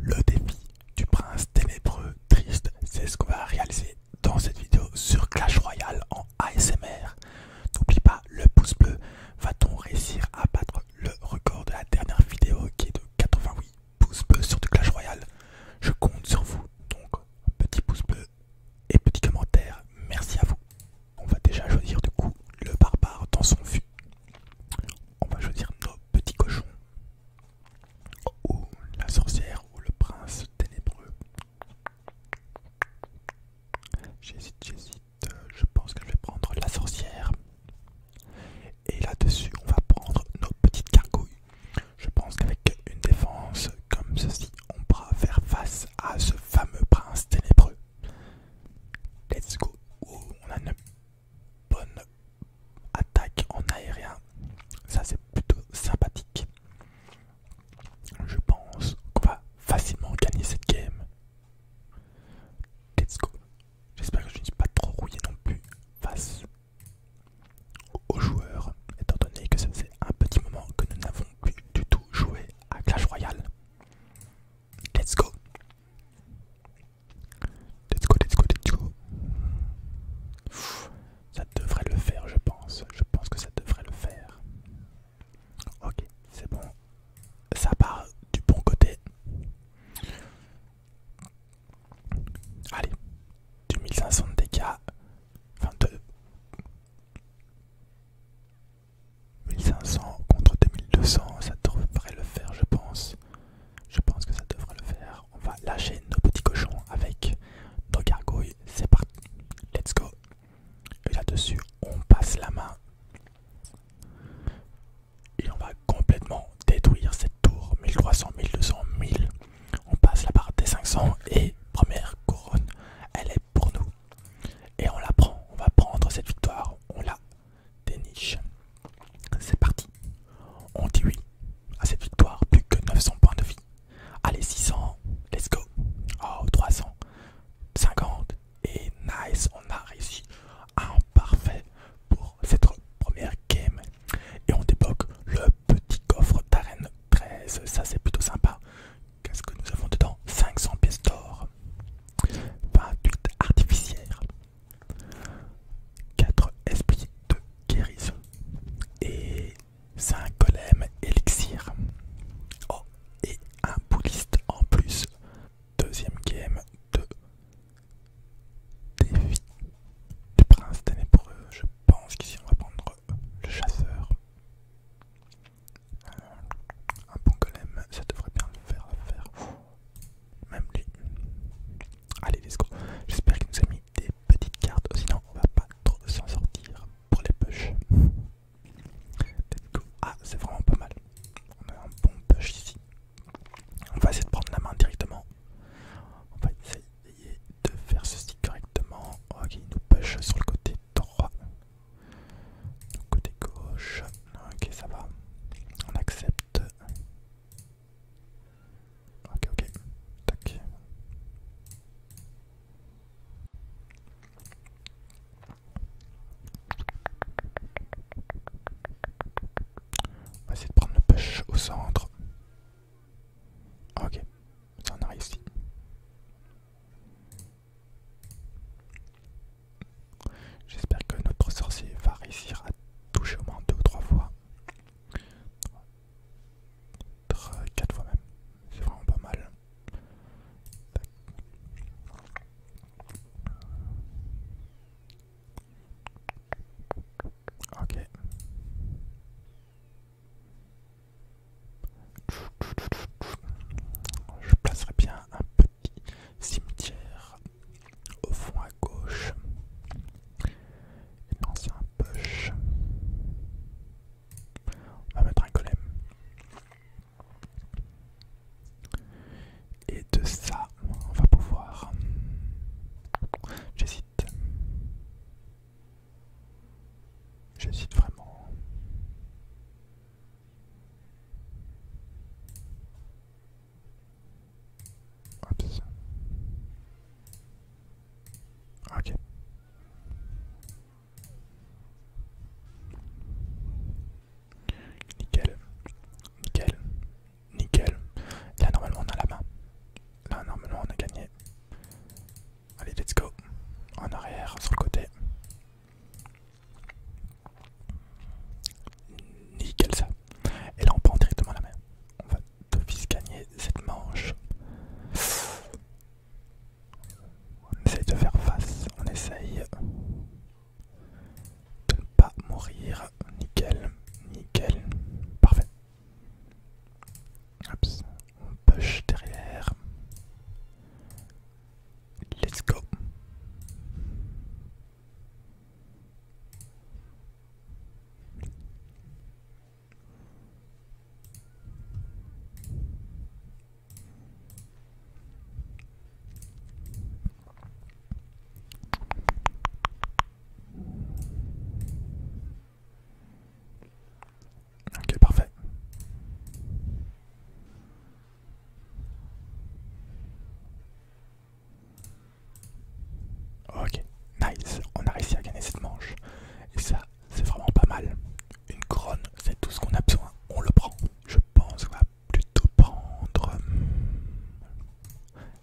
Le défi du prince ténébreux triste, c'est ce qu'on va réaliser dans cette vidéo sur Clash Royale en ASMR. N'oublie pas le pouce bleu, va-t-on réussir à battre le record de la dernière vidéo qui est de 88 pouces bleus sur du Clash Royale Je compte sur vous, donc petit pouce bleu et petit commentaire, merci à vous. On va déjà choisir du coup le barbare dans son fût. On va choisir petit cochon ou la sorcière ou le prince ténébreux. J'hésite, j'hésite, je pense que je vais prendre la sorcière. Et là-dessus, on va prendre nos petites cargouilles. Je pense qu'avec une défense comme ceci, on pourra faire face à ce fameux prince ténébreux. Let's go. on a bonne attaque en aérien. Ça c'est plutôt sympathique. Je pense qu'on va facilement gagner cette game. Let's go. J'espère que je ne suis pas trop rouillé non plus face aux joueurs, étant donné que ça fait un petit moment que nous n'avons plus du tout joué à Clash Royale. Let's go. Let's go, let's go, let's go. Ça devrait le faire, je pense. Je pense que ça devrait le faire. Ok, c'est bon. Ça part du bon côté. Allez, 2500 1500 dégâts. 1500 contre 2200, ça devrait le faire, je pense. Je pense que ça devrait le faire. On va lâcher nos petits cochons avec nos gargouilles. C'est parti. Let's go. Et là-dessus, on passe la main. Et on va complètement détruire cette tour. 1300, 1200, 1000. On passe la barre des 500 et première couronne, elle est pour nous. Et on la prend. On va prendre cette victoire. On la des niches. C'est parti. On dit oui à cette victoire, plus que 900 points de vie. Allez, 600, let's go. Oh, 300, 50. Et nice, on a réussi un parfait pour cette première game. Et on débloque le petit coffre d'arène 13. Ça, c'est plutôt sympa. Qu'est-ce que nous avons dedans 500 pièces d'or, 28 artificières, 4 esprits de guérison et 5 golems élixirs. Oh, et un bouliste en plus. Deuxième game de défi du prince ténébreux. Je pense qu'ici on va prendre le chasseur un bon golem, ça devrait bien le faire, Même lui. Allez, let's go. J'espère qu'il nous a mis des petites cartes, sinon on va pas trop s'en sortir pour les push. Ah, c'est vraiment pas mal. On a un bon push ici. On va essayer de prendre la main directement. On va essayer de faire ceci correctement. Ok, il nous push sur le côté droit. Côté gauche, ok ça va, on accepte. Ok ok, tac. On va essayer de prendre le push au centre. Ok, on a réussi. J'espère que notre sorcier va réussir à toucher au moins deux ou trois fois. 4 euh, fois même, c'est vraiment pas mal. Ok. Je placerai bien un petit cimetière au fond à gauche. c'est un poche. On va mettre un golem. Et de ça, on va pouvoir... J'hésite. J'hésite vraiment. Ok. Nickel. Nickel. Nickel. Là normalement on a la main. Là normalement on a gagné. Allez, let's go. En arrière, sur le côté. Nickel ça. Et là on prend directement la main. On va fils gagner cette manche. On essaye de faire face. On essaye de ne pas mourir. Nickel. Nickel. Parfait. Oops. push derrière. Let's go. Ok, parfait. Ok, nice, on a réussi à gagner cette manche. Et ça, c'est vraiment pas mal. Une couronne, c'est tout ce qu'on a besoin. On le prend. Je pense qu'on va plutôt prendre hum,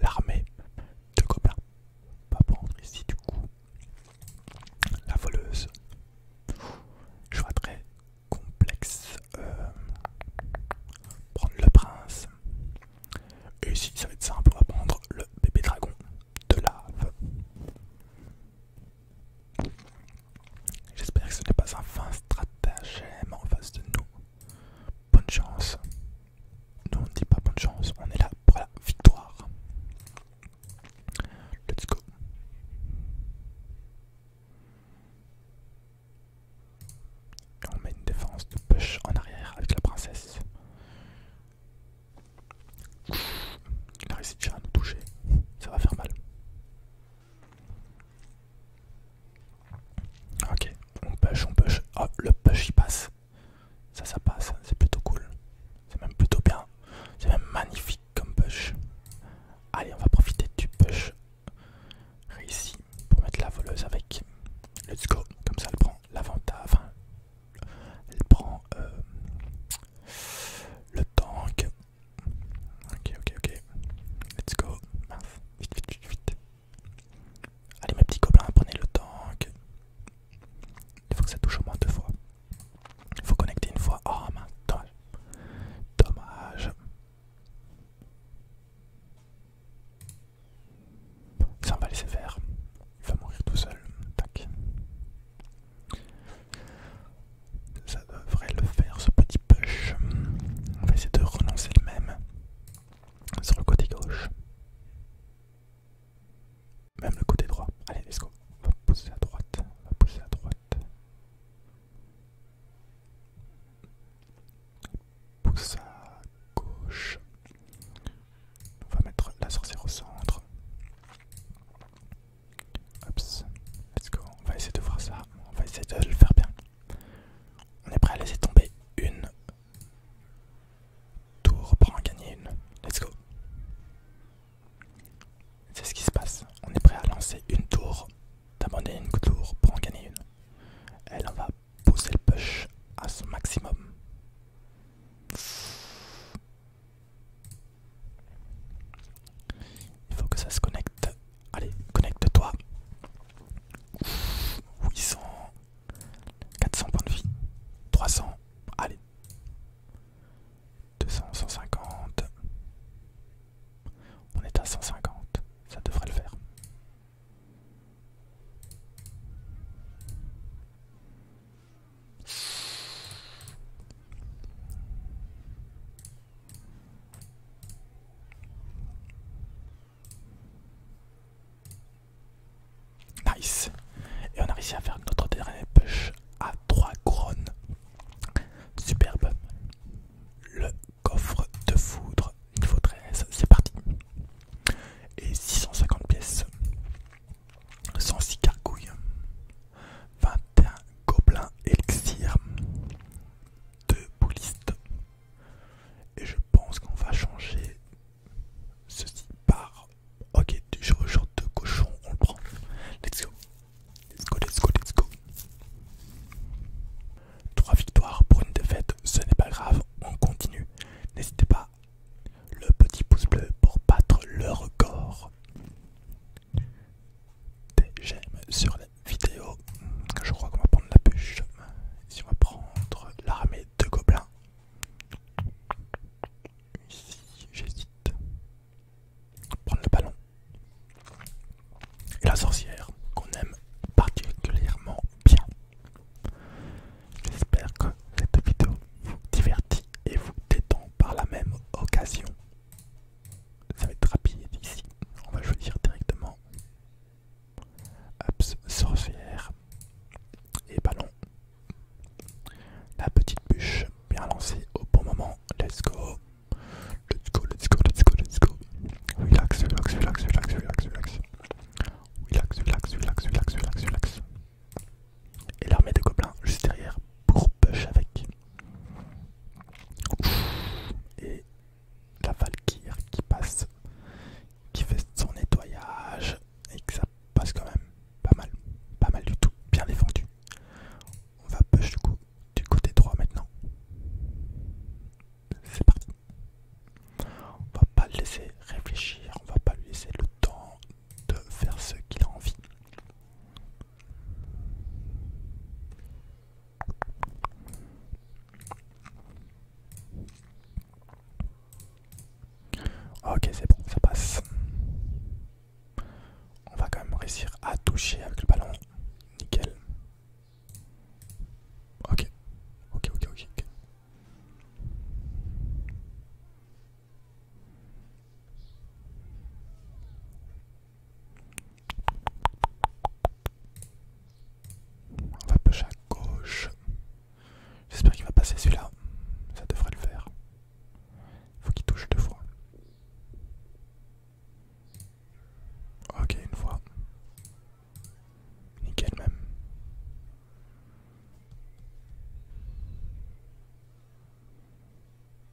l'armée de On Pas prendre ici du coup. La voleuse. Je vois très complexe. Euh, prendre le prince. Et ici, ça va être simple, on va prendre le bébé dragon de lave. J'espère que ce n'est pas un fin stratagème en face de nous. Bonne chance. Non, on ne dit pas bonne chance, on est là pour la victoire. Let's go. on met une défense de push en arrière avec la princesse. Il a réussi déjà à nous toucher, ça va faire mal. Ok, on push, on push. Oh, le push il passe. Ça, ça passe, hein. c'est plutôt cool. C'est même plutôt bien. C'est même magnifique comme push. Allez, on va profiter du push réussi pour mettre la voleuse avec. Let's go. Comme ça, elle prend l'avantage. Enfin, elle prend euh, le tank. Ok, ok, ok. Let's go. Vite, vite, vite, vite. Allez mes petits gobelins, prenez le temps. Il faut que ça touche au moins deux fois. Il faut connecter une fois. Oh mince, dommage. Dommage. Ça, on va laisser faire. Il va mourir tout seul. Ça devrait le faire ce petit push. On va essayer de renoncer le même sur le côté gauche. Même le côté droit. Allez, let's go. On va pousser à droite. On va pousser à droite. Pousse à gauche. On va mettre la sorcière au centre. Ops. Let's go. On va essayer de voir ça. On va essayer de le faire bien. On est prêt à laisser tomber une, Tour pour en gagner une. Let's go. C'est ce qui se passe. On est prêt à lancer une tour, d'abandonner une tour pour en gagner une. Elle va pousser le push à son maximum. Il faut que ça se connecte. Allez, connecte-toi. 800, 400 points de vie. 300. Allez. 200, 150. On est à 150. Ça devrait le faire. Nice. Et on a réussi à faire notre dernier push à 3 couronnes. Superbe. Le coffre de foudre niveau 13, c'est parti. Et 650 pièces. 106 gargouilles, 21 gobelins élixir. 2 boulistes. Et je pense qu'on va changer ceci par... Ok, du genre de cochon, on le prend. Let's go. Let's go, let's go, let's go. Trois victoires pour une défaite, ce n'est pas grave, on continue. N'hésitez pas, le petit pouce bleu pour battre le record. Des j'aime sur vidéo, je crois qu'on va prendre la bûche. si on va prendre l'armée de gobelins. Ici, j'hésite. Prendre le ballon. Et la sorcière, qu'on aime particulièrement bien. J'espère que cette vidéo vous divertit et vous détend par la même occasion. Ça va être rapide ici. On va choisir directement Ups, sorcière et ballon. La petite bûche bien lancée au bon moment. Let's go. Let's go, let's go, let's go, let's go. Relax, relax, relax, relax, relax, relax. Relax, relax, relax, relax, relax, relax. Et l'armée de gobelins juste derrière pour push avec. Et la Valkyrie qui passe, qui fait son nettoyage et que ça passe quand même pas mal, pas mal du tout, bien défendu. On va push du, coup, du côté droit maintenant. C'est parti. On va pas le laisser réfléchir, on va pas lui laisser le temps de faire ce qu'il a envie. Ok, c'est bon, ça passe. On va quand même réussir à toucher avec le ballon. Nickel. Ok, ok, ok, ok. On va push à gauche. J'espère qu'il va passer celui-là. Ça devrait le faire. Faut qu'il touche deux fois. Ok, une fois. Nickel même.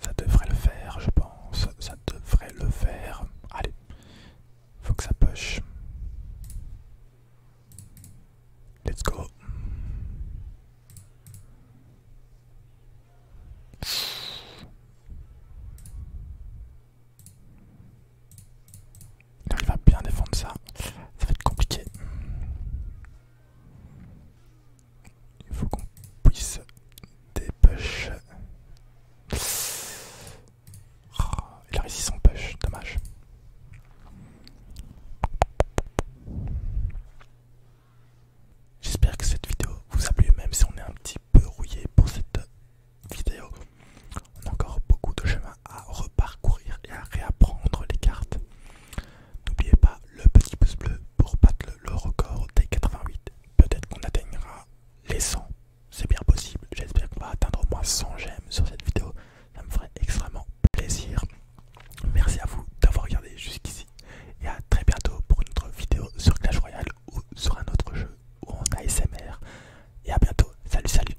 Ça devrait le faire, je pense. Ça devrait le faire. Allez, faut que ça poche Let's go. Il va bien défendre ça. Ça va être compliqué. Il faut qu'on puisse dépêcher. Ah, il a réussi son push, dommage. J'espère que cette vidéo vous a plu, même si on est un petit peu rouillé pour cette vidéo. On a encore beaucoup de chemin à reparcourir et à réapprendre les cartes. N'oubliez pas le petit pouce bleu pour battre le record des 88. Peut-être qu'on atteignera les 100, c'est bien possible. J'espère qu'on va atteindre au moins 100 j'aime sur cette vidéo. Ça me ferait extrêmement plaisir. Merci à vous d'avoir regardé jusqu'ici et à très bientôt pour une autre vidéo sur Clash Royale ou sur un autre jeu ou en ASMR. Et à bientôt. Salut, salut.